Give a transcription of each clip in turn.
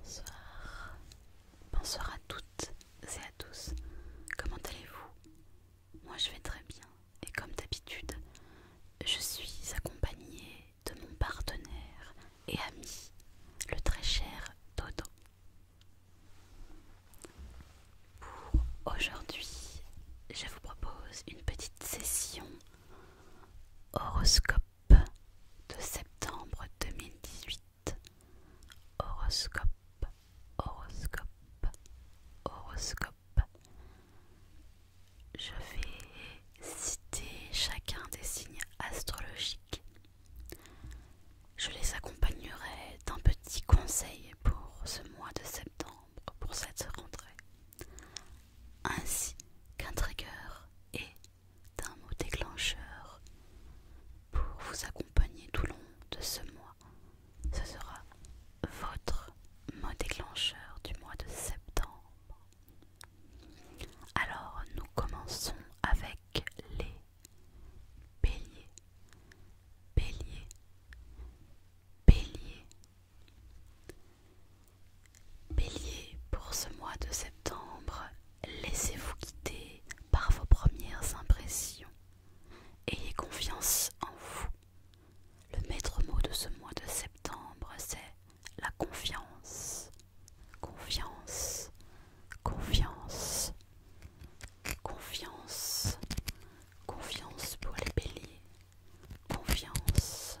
Bonsoir. Bonsoir à toutes et à tous. Comment allez-vous Moi je vais très bien et comme d'habitude, je suis accompagnée de mon partenaire et ami, le très cher Dodo. Pour aujourd'hui, je vous propose une petite session horoscope de septembre 2018. Horoscope, horoscope, horoscope. Je vais citer chacun des signes astrologiques. Je les accompagnerai d'un petit conseil pour ce mois de septembre, pour cette rentrée, ainsi qu'un trigger et d'un mot déclencheur pour vous accompagner tout long de ce mois. Ce sera votre mot déclencheur du mois de septembre. Alors nous commençons avec les béliers. béliers, bélier, Bélier, pour ce mois de septembre, laissez-vous guider par vos premières impressions. Ayez confiance en vous. Le maître mot de ce mois de septembre, c'est la confiance. Confiance, confiance, confiance, confiance pour les béliers. Confiance,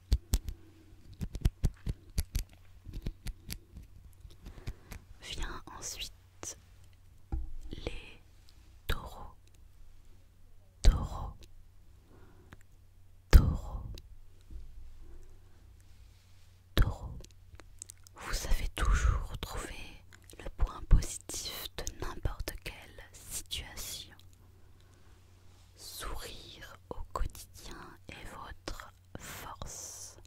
Vient ensuite les taureaux, taureaux, taureaux, taureaux. Vous savez toujours trouver le point positif de n'importe quelle situation. Sourire au quotidien est votre force.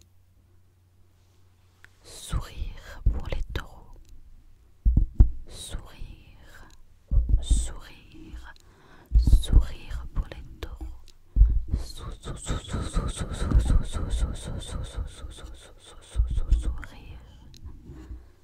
Sourire pour les taureaux. Sourire, sourire, sourire pour les taureaux. Sourire.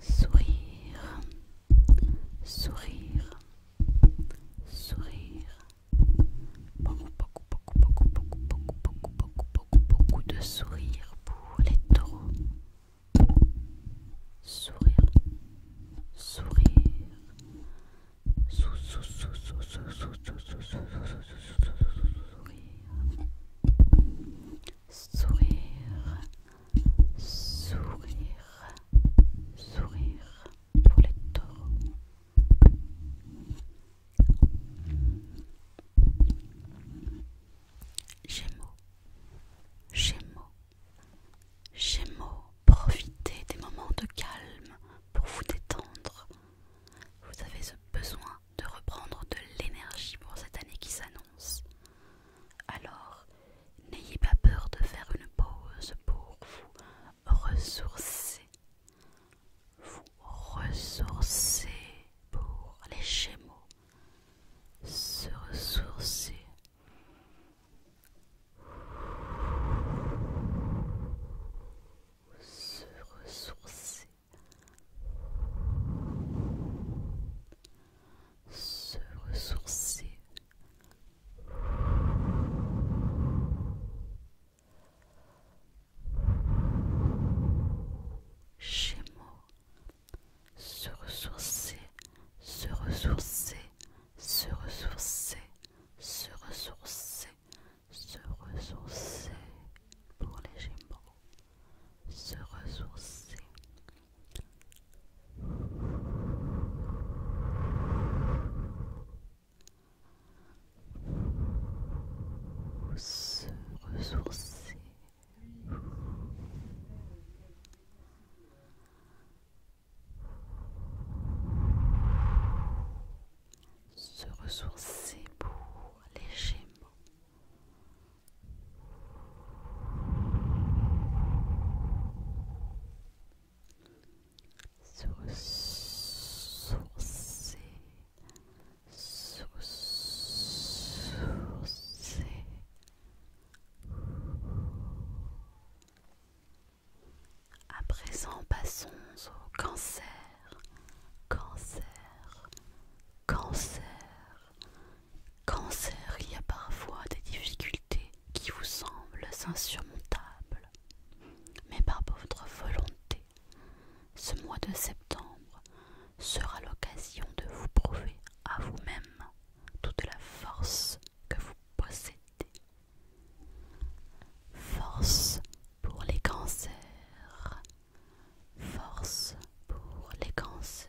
sourire, sourire, sourire, beaucoup, beaucoup, beaucoup, beaucoup, beaucoup, beaucoup, beaucoup, beaucoup, de sourire pour les taureaux. Sourire, sourire, sou, sou, sou, sou, sou, sou, sou, sourire, sourire, sourire pour les taureaux. Gémeaux, Gémeaux, Gémeaux, profitez des moments de calme pour vous détendre. Vous avez ce besoin de reprendre de l'énergie pour cette année qui s'annonce. Alors, n'ayez pas peur de faire une pause pour vous ressourcer. Vous ressourcer pour les Gémeaux. Se ressourcer. Se ressourcer. Se ressourcer. Gémeaux, se ressourcer, se ressourcer, se ressourcer, se ressourcer, se ressourcer pour les Gémeaux, se ressourcer se ressourcer. Se ressourcer pour les Sourcé, sourcé, À présent, passons au cancer, cancer, cancer. Cancer, il y a parfois des difficultés qui vous semblent insurmontables. Mais par votre volonté, ce mois de septembre sera l'occasion de vous prouver à vous-même toute la force que vous possédez. Force pour les cancers. Force pour les cancers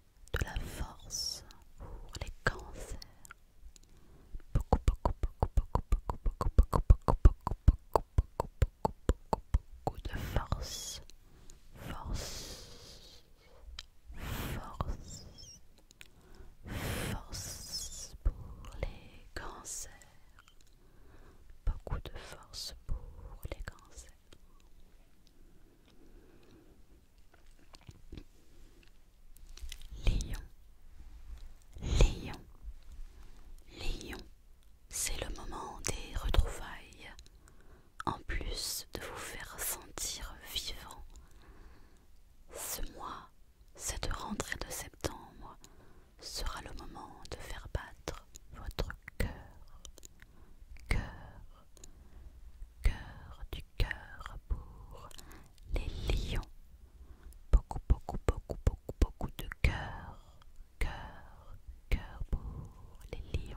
de la force pour les cancers. Beaucoup, beaucoup, beaucoup, beaucoup, beaucoup, beaucoup, beaucoup, beaucoup, beaucoup, beaucoup, beaucoup, beaucoup, beaucoup de force. Force. Force. Force pour les cancers. Beaucoup de force pour les cancers. Léon, Léon, Léon, c'est le moment des retrouvailles. En plus de vous faire sentir vivant, ce mois, cette rentrée de septembre, sera le moment de faire battre votre cœur, cœur, cœur du cœur pour les lions. Beaucoup, beaucoup, beaucoup, beaucoup, beaucoup de cœur, cœur, cœur pour les lions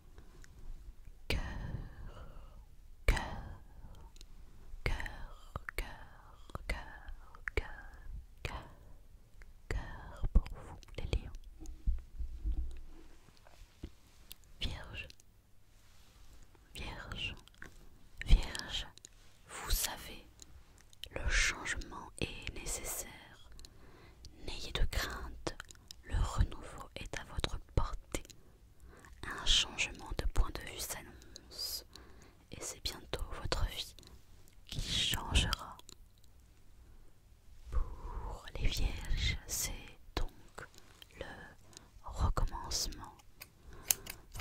cœur, cœur, cœur, cœur, cœur, cœur, cœur, cœur pour vous les lions. Vierge, Vierge, Vierge, vous savez, le changement est nécessaire. N'ayez de crainte, le renouveau est à votre portée. Un changement de point de vue s'annonce et c'est bientôt votre vie qui changera. Pour les vierges, c'est donc le recommencement.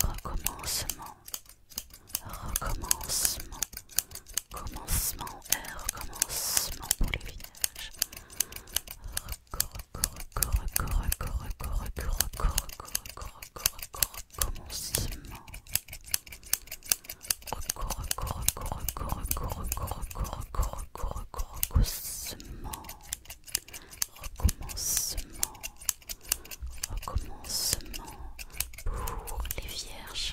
Recommencement. Recommencement. Commencement et recommencement pour les vierges recommencement, recommencement pour les vierges.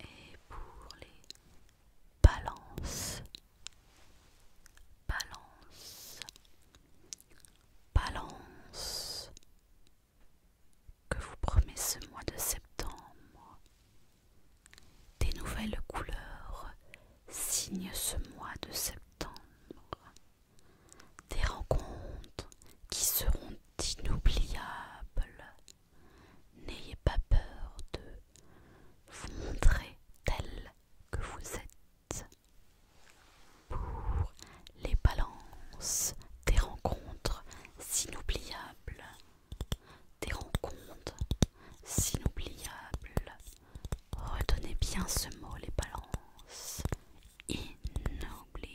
Et pour les balances, balance, balance, que vous promet ce mois de septembre. Des nouvelles couleurs signent ce mois de septembre. Des rencontres qui seront inoubliable. N'ayez pas peur de vous montrer tel que vous êtes. Pour les balances, des rencontres inoubliables. Des rencontres inoubliables. Retenez bien ce mot, les balances. Inoubliables.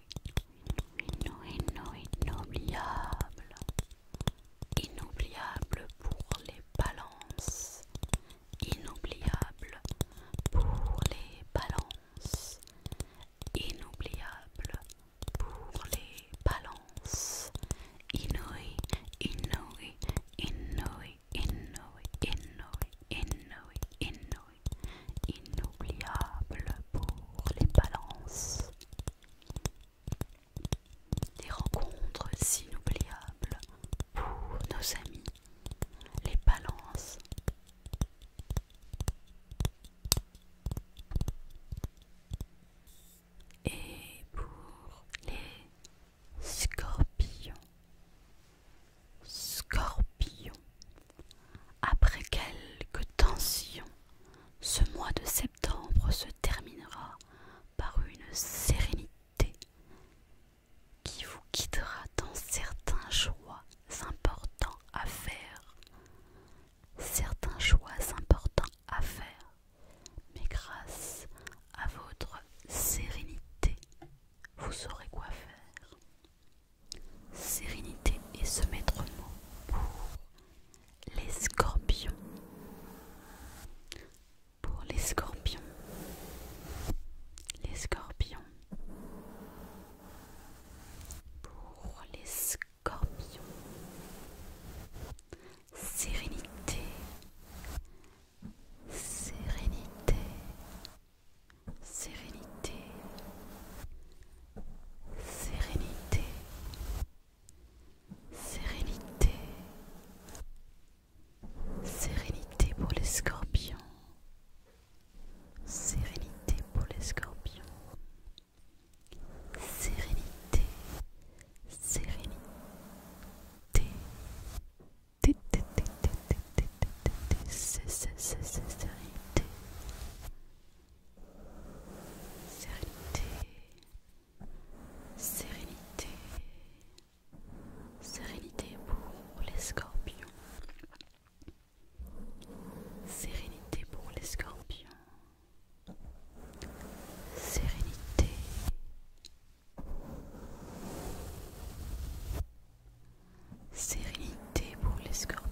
inoubliable, inoubliable pour les balances, inoubliable pour les balances, inoubliable pour les balances, inouï, inouï, inouï, inouï, inouï, inouï, inouï, inouï inoubliable pour les balances. Des rencontres inoubliables pour nos amis, les balances. Et pour les scorpions, scorpions, après quelques tensions, ce mois de septembre se terminera par une sérénité qui vous guidera dans certains choix importants à faire. Certains choix importants à faire, mais grâce à votre sérénité, vous saurez quoi faire. Sérénité et ce maître mot pour les scorpions. Pour les scorpions. Les scorpions. Pour les scorpions. Sérénité. Sérénité. Sérénité sérénité, sérénité, sérénité pour les scorpions, sérénité pour les scorpions, sérénité, sérénité, sérénité sérénité, sérénité, sérénité pour les scorpions, sérénité pour les scorpions, sérénité. Sérénité pour les scorpions.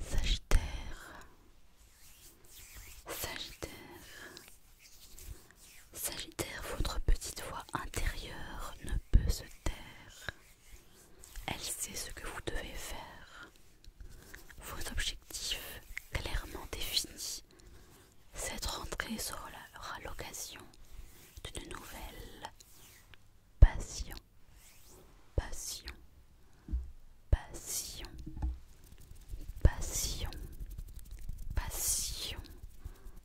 Sagittaire, Sagittaire, Sagittaire, votre petite voix intérieure ne peut se taire. Elle sait ce que vous devez faire. Vos objectifs clairement définis. Cette rentrée sera l'occasion d'une nouvelle passion passion, passion, passion, passion,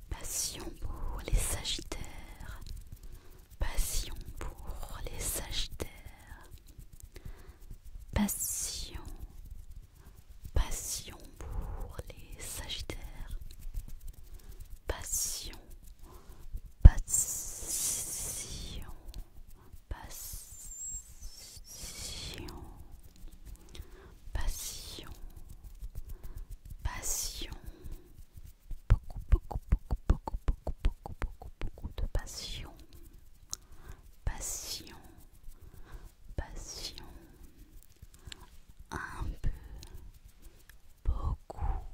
passion pour les sagittaires, passion pour les sagittaires, passion, passion pour les sagittaires, passion. Passion, passion, passion, passion, beaucoup, beaucoup, beaucoup, beaucoup, beaucoup, beaucoup, beaucoup, beaucoup de passion, passion, passion, un peu, beaucoup,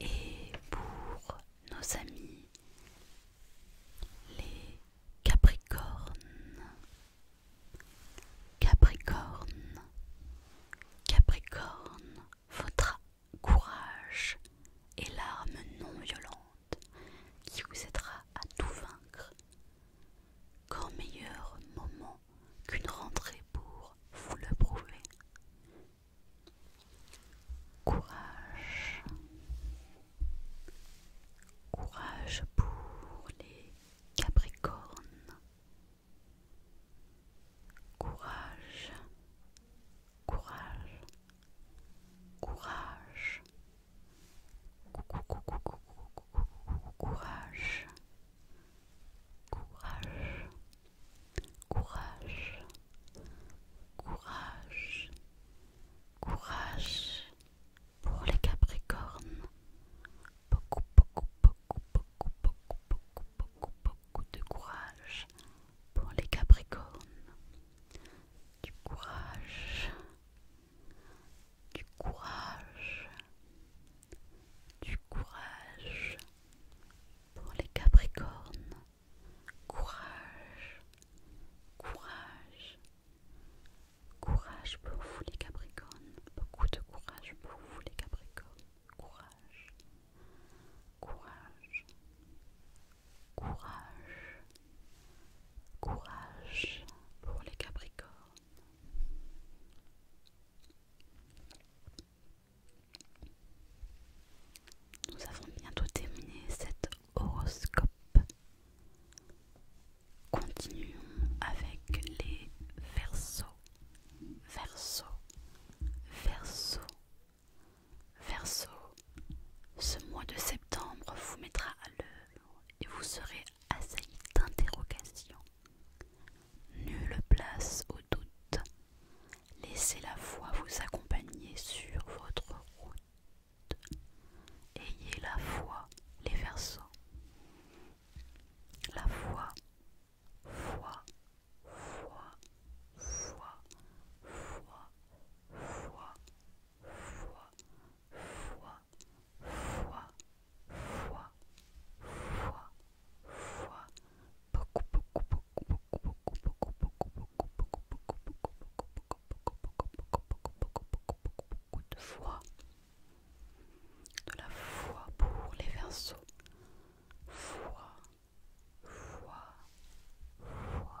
Et pour nos amis les Capricornes, Capricornes, Capricorne, votre courage et l'arme non violente qui vous aidera à tout vaincre. Qu'en meilleur moment qu'une rentrée pour vous le prouver. Courage. Courage pour les Capricornes. Courage. Courage. Courage courage, courage, courage, courage, courage pour les Capricornes. Beaucoup, beaucoup, beaucoup, beaucoup, beaucoup, beaucoup, beaucoup, beaucoup de courage pour les Capricornes. Du courage, du courage, du courage pour les Capricornes, courage, courage, courage pour vous les Capricornes, beaucoup de courage pour vous les Capricornes, courage, courage, courage. Courage pour les Capricornes. Nous avons bientôt terminé cet horoscope. Continuons avec les versos. Verso, Versos verso. Ce mois de septembre vous mettra à l'œuvre et vous serez à Assez d'interrogations. Nulle place au doute. Laissez la foi vous accompagner sur votre route. Ayez la foi, les versants. La foi, foi, foi, foi, foi, foi, foi, fois, fois, fois, fois, fois, beaucoup, beaucoup, beaucoup, beaucoup, beaucoup, beaucoup, beaucoup, beaucoup, beaucoup, beaucoup, beaucoup, beaucoup beaucoup, beaucoup, de fois. De la foi pour les versos. fois, fois, fois, fois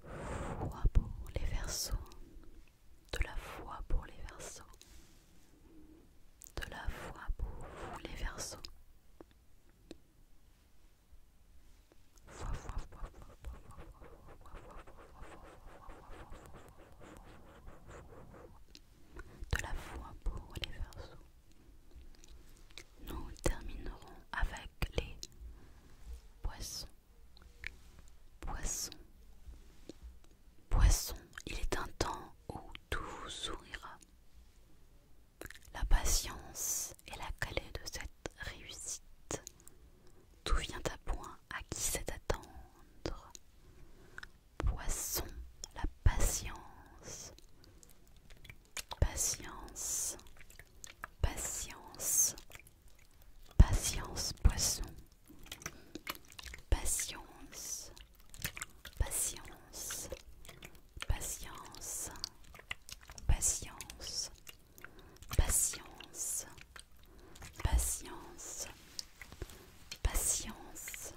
Foi pour les versos, de la foi pour les versos, de la foi pour les versos. foi, de la foi pour les versos nous terminerons avec les poissons. Poissons. Poissons, il est un temps où tout vous sourira. La patience est la clé de cette réussite. Tout vient à point à qui c'est attendre. Poisson, la patience. Patience, patience, patience, poisson. Patience, patience, patience, patience, patience, patience, patience.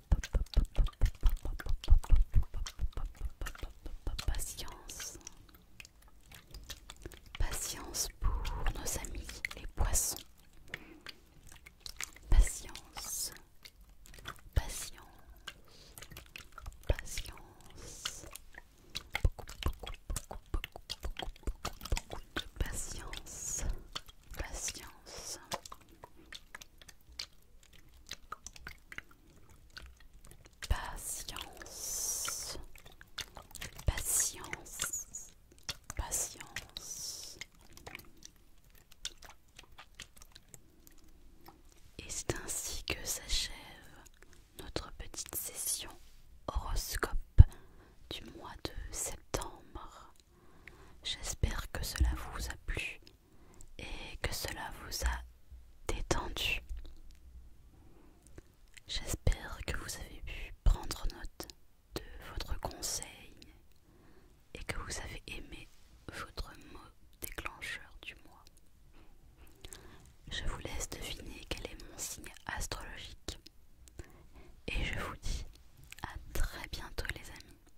Patience. Patience pour nos amis les poissons. Patience. Patience. Patience. beaucoup, beaucoup, beaucoup, beaucoup, beaucoup de patience. Patience. Patience. Patience. Patience. Et c'est ainsi que s'achève notre petite session horoscope du mois de septembre. J'espère que cela vous a plu et que cela vous a détendu. J'espère que vous avez pu prendre note de votre conseil et que vous avez aimé votre mot déclencheur du mois. Je vous laisse deviner quel est mon signe astrologique et je vous dis à très bientôt les amis.